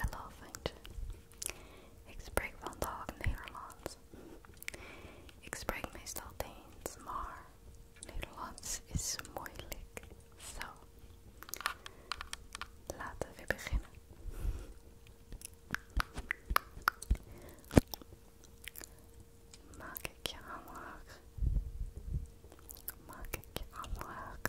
Hallo vriendje. Ik spreek vandaag Nederlands. Ik spreek meestal Deens, maar Nederlands is moeilijk. Zo, laten we beginnen. Maak ik je aanraak? Maak ik je aanraak?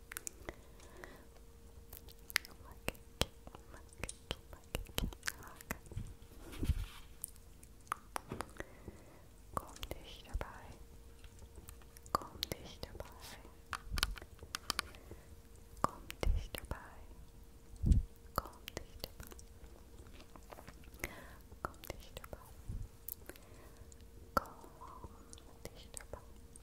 Komm dich dabei. Komm dich dabei. Komm dich dabei. Komm dich dabei.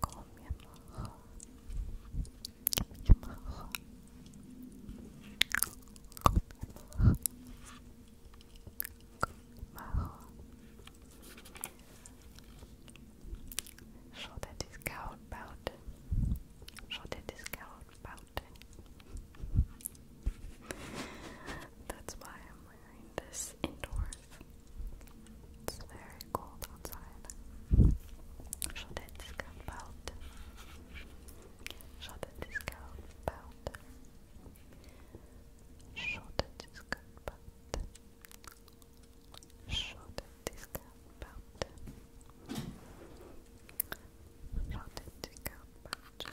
Calm your heart. Calm your heart. Calm your heart. My heart. Schau dir das Kaut bauten. That's why I'm wearing this indoors. It's very cold outside. Should I discount belt? Should I discount belt? Should I discount belt? Should I discount belt? Should I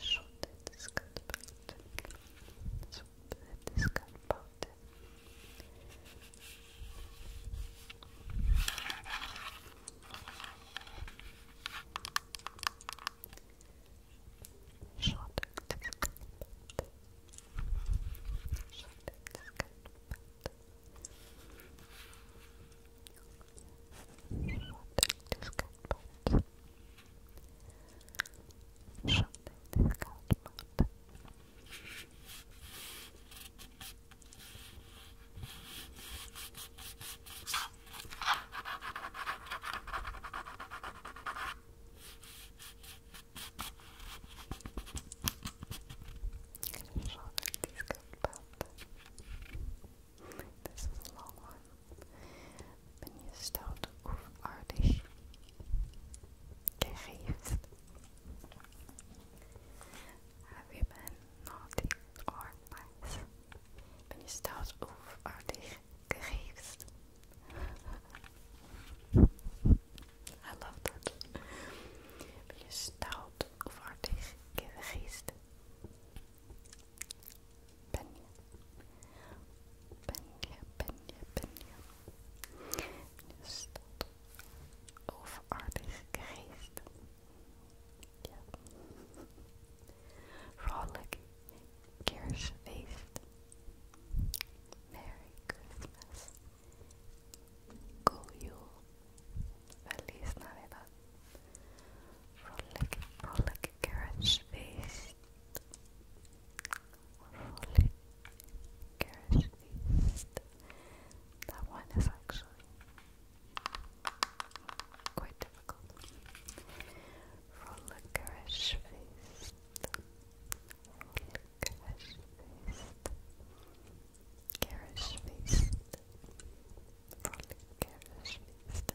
Schüttet das Kaltbad. Schüttet das Kaltbad. Schüttet das Kaltbad. Schüttet das Kaltbad. Short, this cat Something to count about. This is a long one. Ben je stout of aardig? Gegeeft. Have you been naughty or nice? Ben je stout of aardig? I love that. Ben je stout of aardig? Ben je? Ben je, ben je, ben je? Dus dat overaardige geest. Ja. Vrolijk kerstfeest. Merry Christmas. Cool you. Feliz Navidad. Frolic, frolic, carrot's feast. Frolic, carrot's feast. That one is actually quite difficult. Frolic, carrot's feast. Frolic, carrot's feast. Carrot's feast. Frolic, carrot's feast.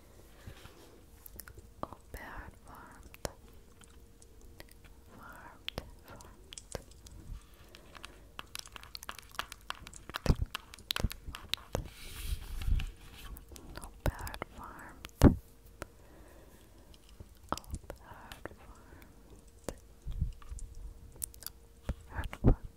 Oh, bad warmth, warmth, warmth. No bad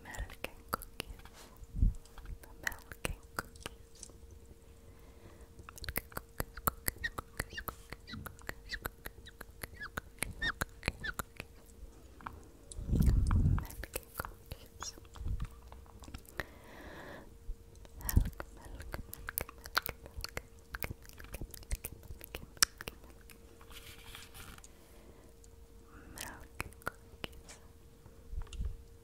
American cookies. American cookies. American cookies, cookies, cookies, cookies, cookies, cookies, cookies, cookies, cookies, cookies. American cookies. Milk,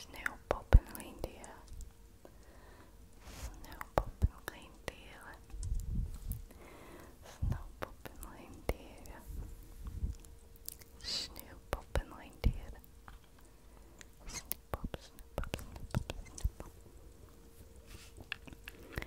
Sneeuwpoppen reindeer. Sneeuwpoppen reindieren. Sneeuwpoppen reindieren. Sneeuwpoppen reindieren. Sneeuwpop, sneeuwpop, sneeuwpop, sneeuwpop.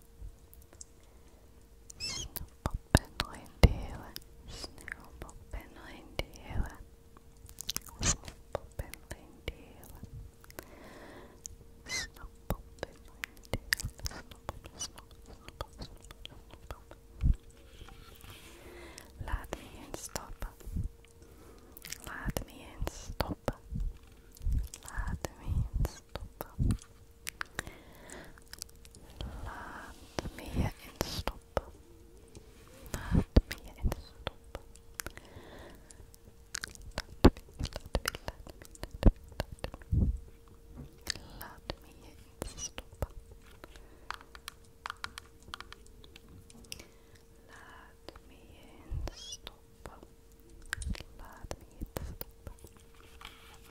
Snoepopinlijn delen. Sneeuwpopinlijn delen. Snoepopinlijn delen. Snoepopinlijn delen. Snoep, snoep, snoep, snoep, snoep. Laat me in. Stop. Let me in. Stop. Laat me eens Laat me je instoppen. Laat me je instoppen. Laat laat me, laat me, laat laat me. Laat me je instoppen. Laat me je instoppen. Laat me je instoppen. Laat me je instoppen.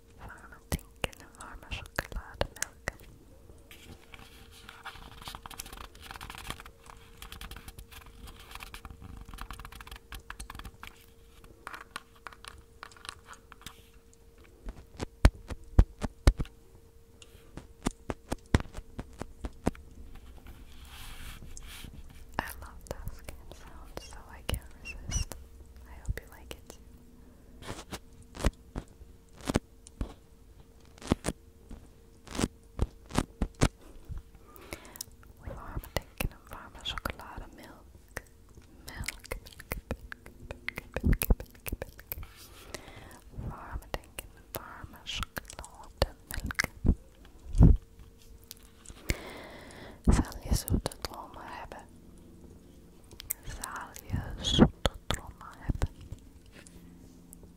warme I love those game sounds, so I can't resist. I hope you like it Warme denken een warme chocolademelk. Melk. Warme denken een warme chocolademelk. Zal je zoete dromen hebben? Zalje zoete trauma heb.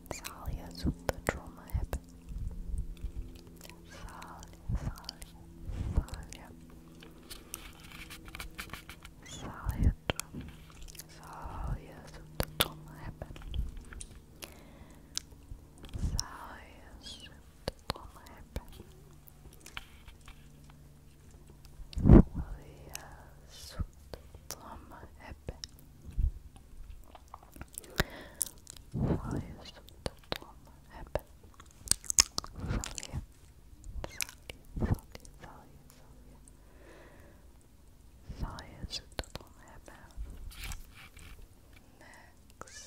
Zalje zoete trauma heb. Zalje, zalje, zalje. Zalje, zalje zoete trauma heb. Zalje zoete trauma heb som Ebbe. Valjasutta Tom Ebbe. Salje. Salje, salje, salje. Valjasutta Tom Ebbe. Next.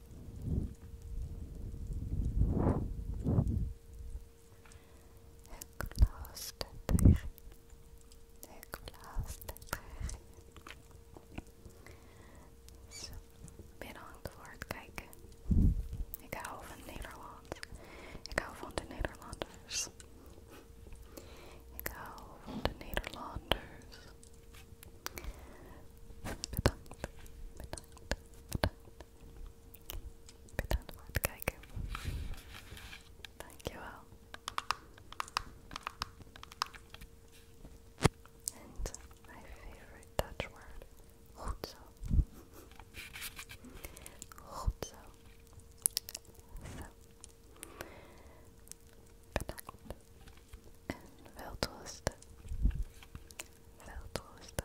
Ik luister tegen je. Ik luister tegen je. Zo, ben aan het woord kijken. Ik hou van Nederland. Ik hou van de Nederlanders. Ik hou van de Nederlanders. Bedankt, bedankt, bedankt, ik ben aan het kijken. Dankjewel. And my favorite Dutch word. Goed zo. Goed zo. Bedankt. En welterusten. Welterusten.